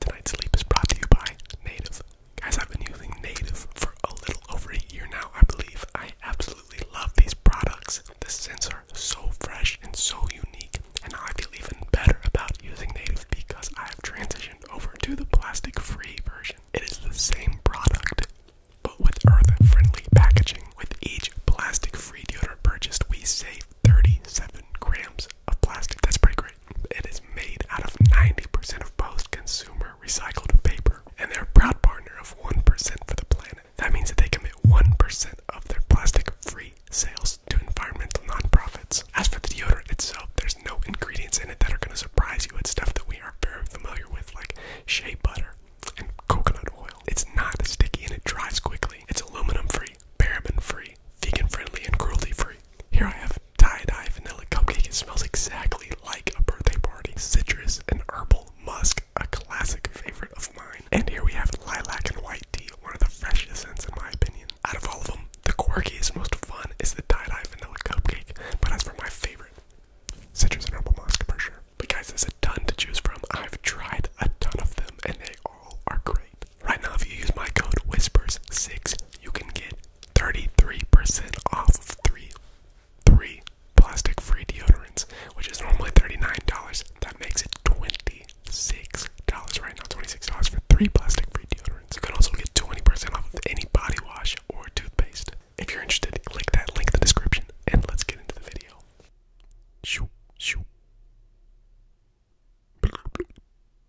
Tonight's sleep is brought to you by Native. Guys, I've been using Native for a little over a year now, I believe. I absolutely love these products. The scents are so fresh and so unique, and I feel even better about using Native because I have transitioned over to the plastic free version. It is the same product, but with earth friendly packaging. With each plastic free deodorant purchased, we save 37 grams of plastic. That's pretty great. It is made out of 90% of post consumer recycled paper, and they're proud partner of 1% for the planet. That means that they commit 1% of their plastic free sales to environmental non-profits. As for the deodorant itself, there's no ingredients in it that are going to surprise you. It's stuff that we are very familiar with, like shea butter and coconut oil. It's not sticky and it dries quickly. It's aluminum free, paraben free vegan friendly, and cruelty free. Here I have tie-dye vanilla cupcake. It smells exactly like a birthday party. Citrus and herbal musk, a classic favorite of mine. And here we have lilac and white tea, one of the freshest scents in my opinion. Out of all of them, the quirkiest, most fun is the tie-dye vanilla cupcake. But as for my favorite, citrus and herbal musk for sure. But guys, there's a ton to choose from. I've tried a ton of them, and they all are great. Right now, if you use my code Whispers6, you can get 33% off of three three plastic free deodorants, which is normally $39. That makes it $26 right now, $26 for three plastic free deodorants. You can also get 20% off of any body wash or toothpaste. If you're interested, click that link in the description and let's get into the video. Shoo, shoo.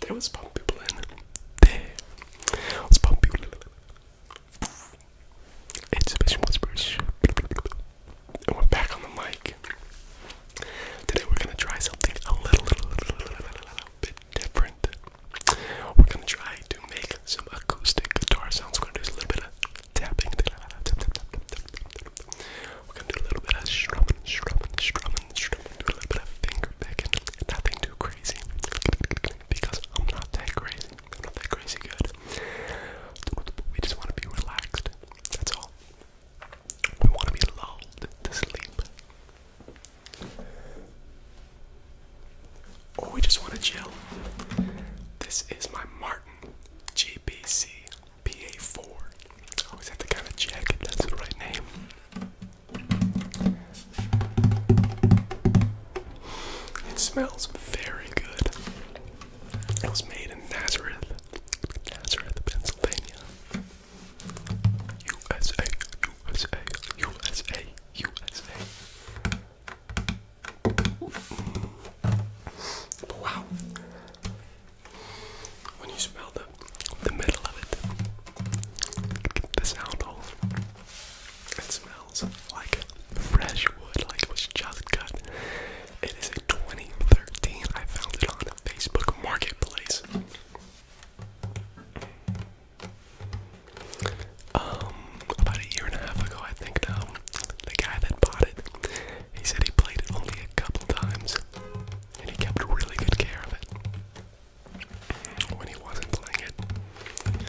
There was pump people in. There was pump people in. Anticipation Whispers. And we're back on the mic. Today we're gonna try something a little, bit different. We're gonna try to make some acoustic guitar sounds. We're gonna do a little bit of tapping. We're gonna do a little bit of strumming, doing a little bit of finger picking, nothing too crazy, because I'm not that crazy, I'm not that crazy good. We just want to be relaxed, that's all. We want to be lulled to sleep. Or we just want to chill. This is my Martin GBC PA4. always have to kind of check that's the right name. It smells very good. It was made in Nazareth, Nazareth, Pennsylvania. USA, USA, USA, USA. wow when you smell the the middle of it, the sound hole. It smells like fresh wood, like it was just cut. It is a 2013. I found it on Facebook Marketplace. Um, about a year and a half ago, I think now. Um, the guy that bought it, he said he played it only a couple times, and he kept really good care of it when he wasn't playing it.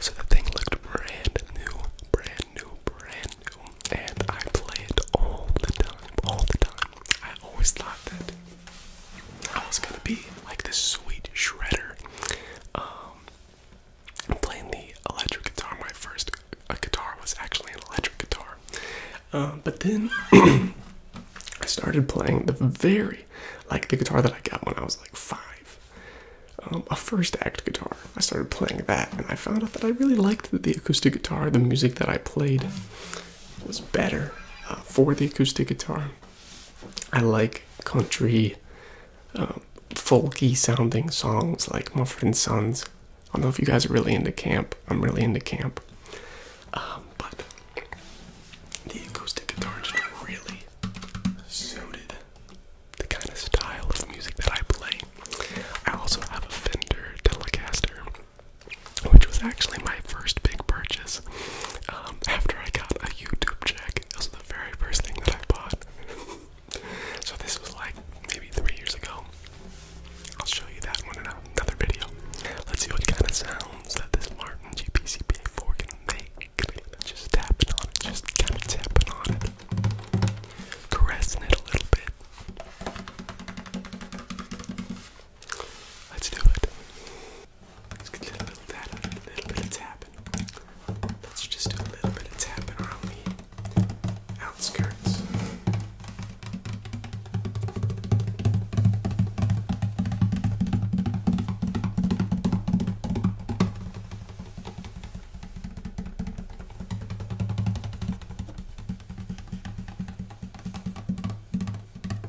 So the thing looked brand new, brand new, brand new, and I play it all the time, all the time. I always thought that I was gonna be like this sweet shredder. Um, playing the electric guitar. My first uh, guitar was actually an electric guitar. Uh, but then I started playing the very, like the guitar that I got when I was like five, um, a first act guitar. I started playing that, and I found out that I really liked the, acoustic guitar. The music that I played was better uh, for the acoustic guitar. I like country, um, folky sounding songs like Mumford and Sons. I don't know if you guys are really into camp. I'm really into camp. Um, but the acoustic guitar just really suited the kind of style of music that I play. I also have a Fender Telecaster, which was actually my first big purchase. Um, after I got a YouTube check, it was the very first thing that I bought. so this was like maybe three years ago. I'll show you that one in another video. Let's see what kind of sounds that this Martin GPCPA4 can make. Just tapping on it, just kind of tapping on it. Caressing it a little bit. Let's do it. Let's get a little, that, a little bit of tapping. Let's just do a little bit of tapping around the outskirts.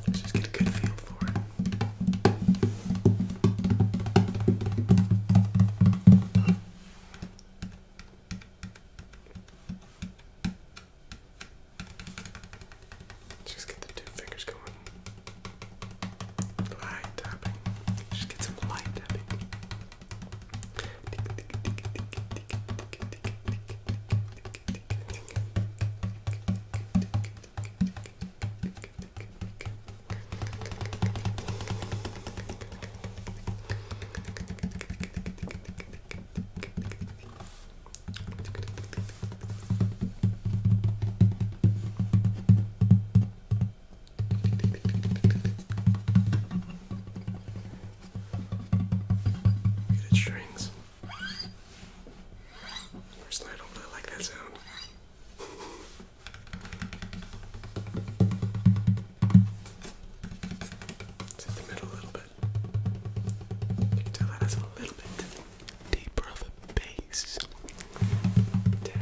Let's just get a good feel for it. Just get the two fingers going. Light tapping. Just get some light tapping. Get it strings. Personally, I don't really like that sound. It's in the middle a little bit. You can tell that has a little bit deeper of a bass. Tap.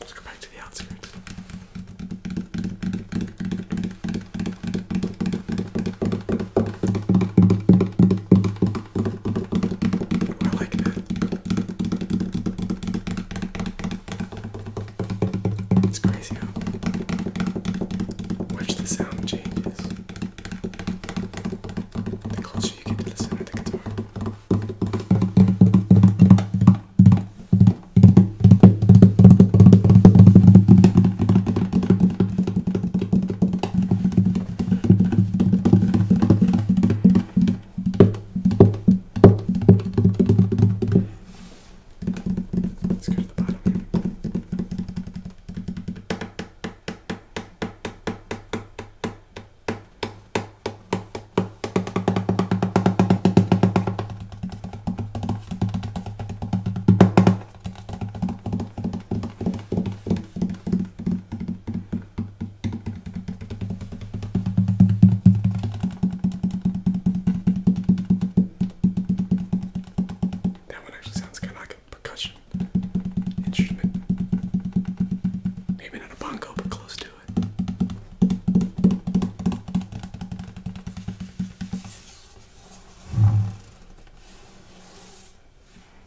Let's go back to the outskirts. We're like it's crazy how much the sound changes the closer you get to the center of the guitar. Let's go to the bottom here. That one actually sounds kind of like a percussion instrument. Maybe not a bongo, but close to it.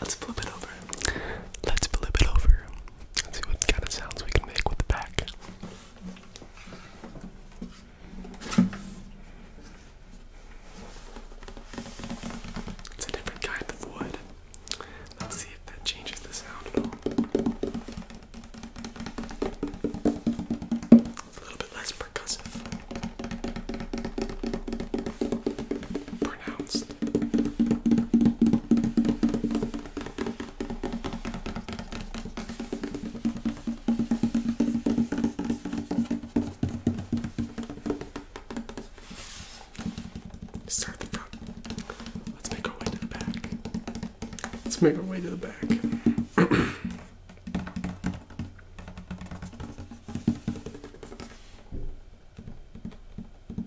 Let's flip it over. Let's flip it over. Let's see what kind of sounds we can make with the pack. It's a different kind of wood. Let's see if that changes the sound at all. a little bit less percussive. Start the front. Let's make our way to the back. Let's make our way to the back.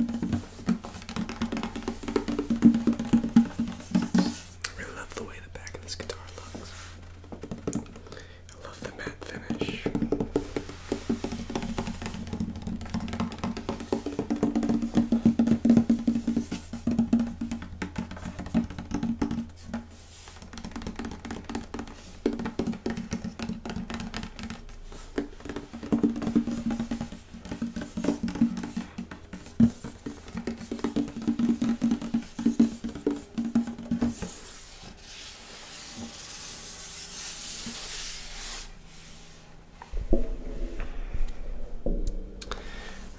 I really love the way the back of this guitar looks. I love the matte finish.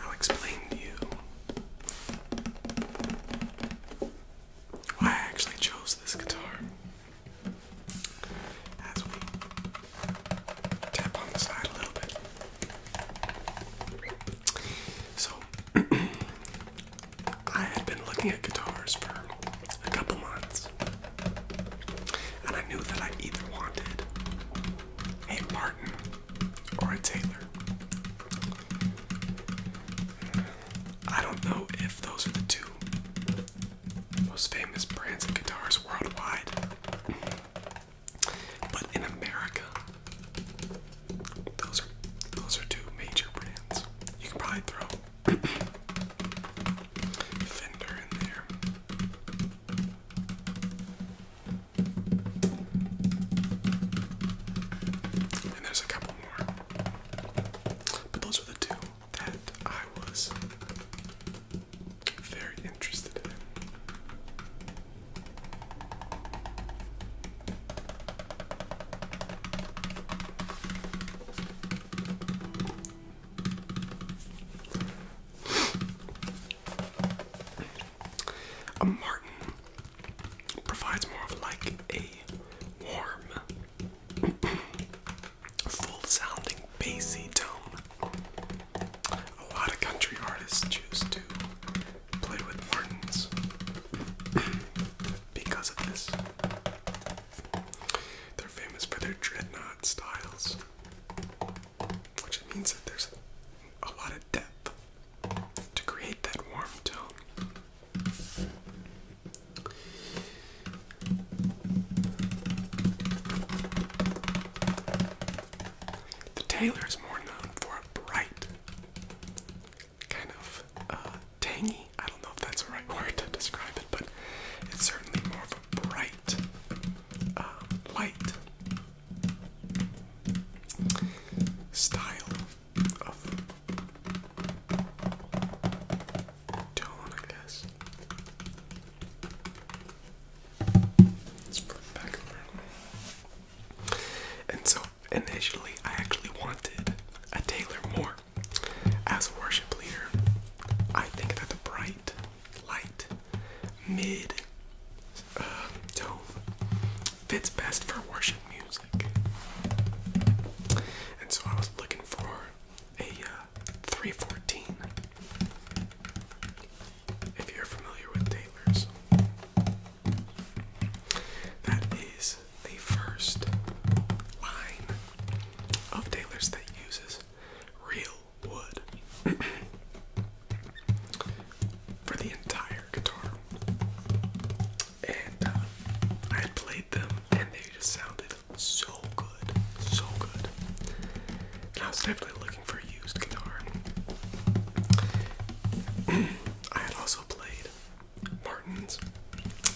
I'll explain to you I actually chose this guitar. So, I had been looking at guitars for a couple months, and I knew that I either wanted a Martin or a Taylor. I don't know if those are the two most famous brands of guitars worldwide. But in America, those are those are two major brands. You can probably throw Fender in there. And there's a couple more. But those are the two that I was very interested in. A martin provides more of like a warm full sounding bassy tone. A lot of country artists choose to play with Martins because of this. They're famous for their dreadnought styles, which means that there's a lot of depth to create that warm tone. The Taylor is more known for a bright, kind of uh, tangy. I don't know if that's the right word to describe it, but it's certainly more of a bright uh, light style tone, I guess. Let's flip back over. And so initially, I actually wanted a Taylor more as a worship leader. I think that the bright, light, mid um, tone fits best for worship music. And so I was looking for a uh, 314. If you're familiar with Taylor's, that is the first line of Taylor's that uses real wood for the entire guitar. And uh, I played them and they just sounded so good, so good. I was definitely looking for a used guitar. I had also played Martins,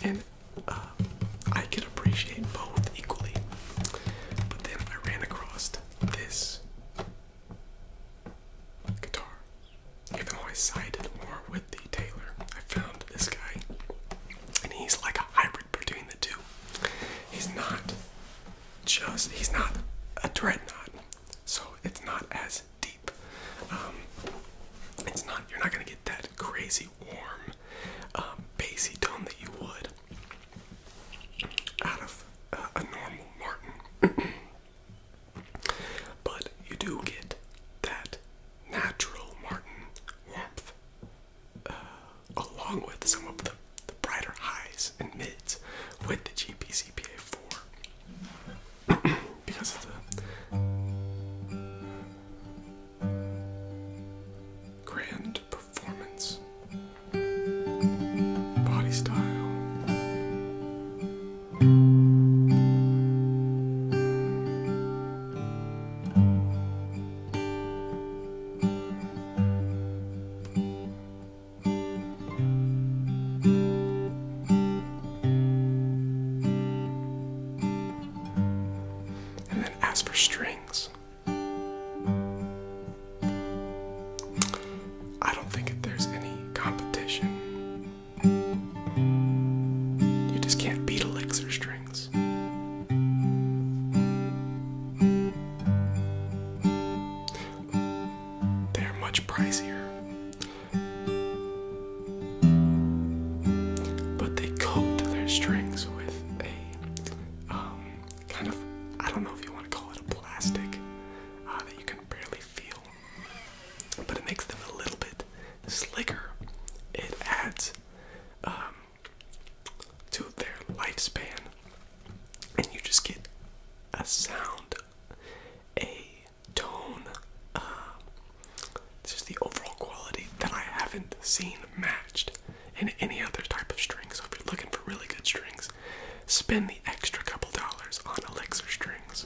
and uh, I could appreciate both equally. But then I ran across this guitar, even though I sighted more with the tailor. I found this guy, and he's like a hybrid between the two. He's not just, he's not a dreadnought, so it's not as deep. Um, it's not, you're not gonna get that crazy warm, um, bassy tone that you would out of a normal Martin. but you do get that natural Martin warmth uh, along with some of the, the brighter highs and mids with the GPCPA 4 because of the grand performance, body style. And then ask for strings, I don't think that there's any competition. You just can't beat elixir Strings. They are much pricier. But they coat their strings with a um, kind of, I don't know if you want to call it a plastic uh, that you can barely feel, but it makes them a little bit slicker. It adds um, to their lifespan, and you just get a sound, a tone, uh, just the overall quality that I haven't seen matched in any other type of string. So if you're looking for really good strings, spend the extra couple dollars on Elixir strings.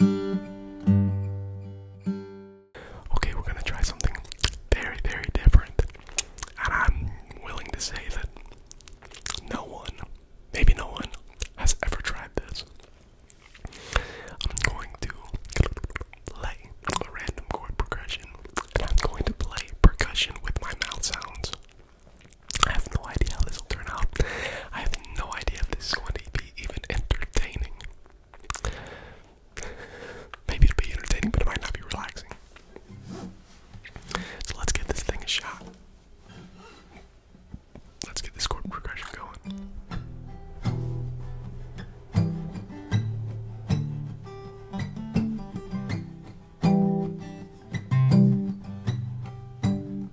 Okay, we're gonna try something very, very different. And I'm willing to say that no one, maybe no one, has ever tried this. I'm going to play a random chord progression, and I'm going to play percussion with my mouth sounds. I have no idea how this will turn out. I have no idea if this is going to be even entertaining. Maybe it'll be entertaining, but it might not be relaxing. So let's give this thing a shot. Let's get this chord progression going.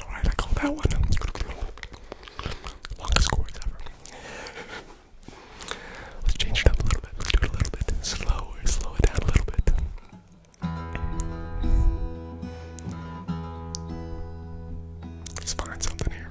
Alright, I call that one. Let's change it up a little bit. Let's do it a little bit slower, slow it down a little bit. Let's find something here.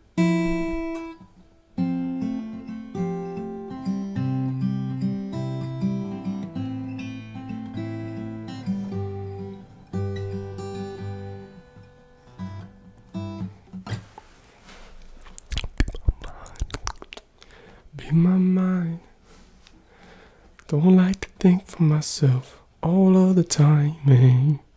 Be my mind. Don't like to think for myself all of the time, man. Eh?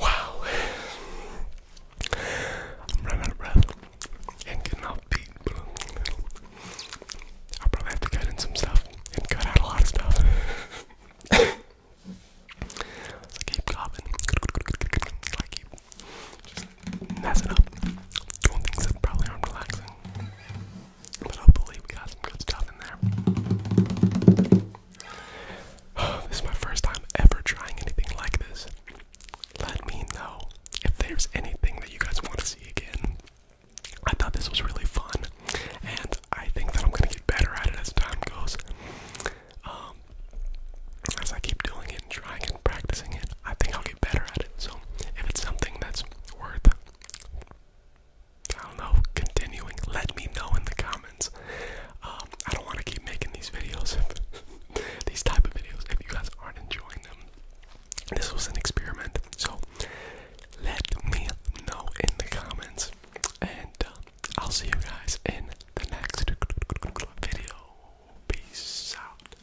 Wow. I'm running out of breath and getting off beat. I'll probably have to cut in some stuff and cut out a lot of stuff. so keep coughing. I keep just messing up. Doing things that probably aren't relaxing. But hopefully, we got some good stuff in there. This is my first time ever trying anything like this. Let me know if there's anything that you guys want to see again. I thought this was really fun, and I think that I'm gonna get better at it as time goes. Um, as I keep doing it and trying and practicing it, I think I'll get better at it. So, if it's something that's worth I don't know, continuing. Let me know in the comments. Um, I don't want to keep making these videos, these type of videos, if you guys aren't enjoying them. This was an experiment, so let me know in the comments, and uh, I'll see you guys in the next video. Peace out.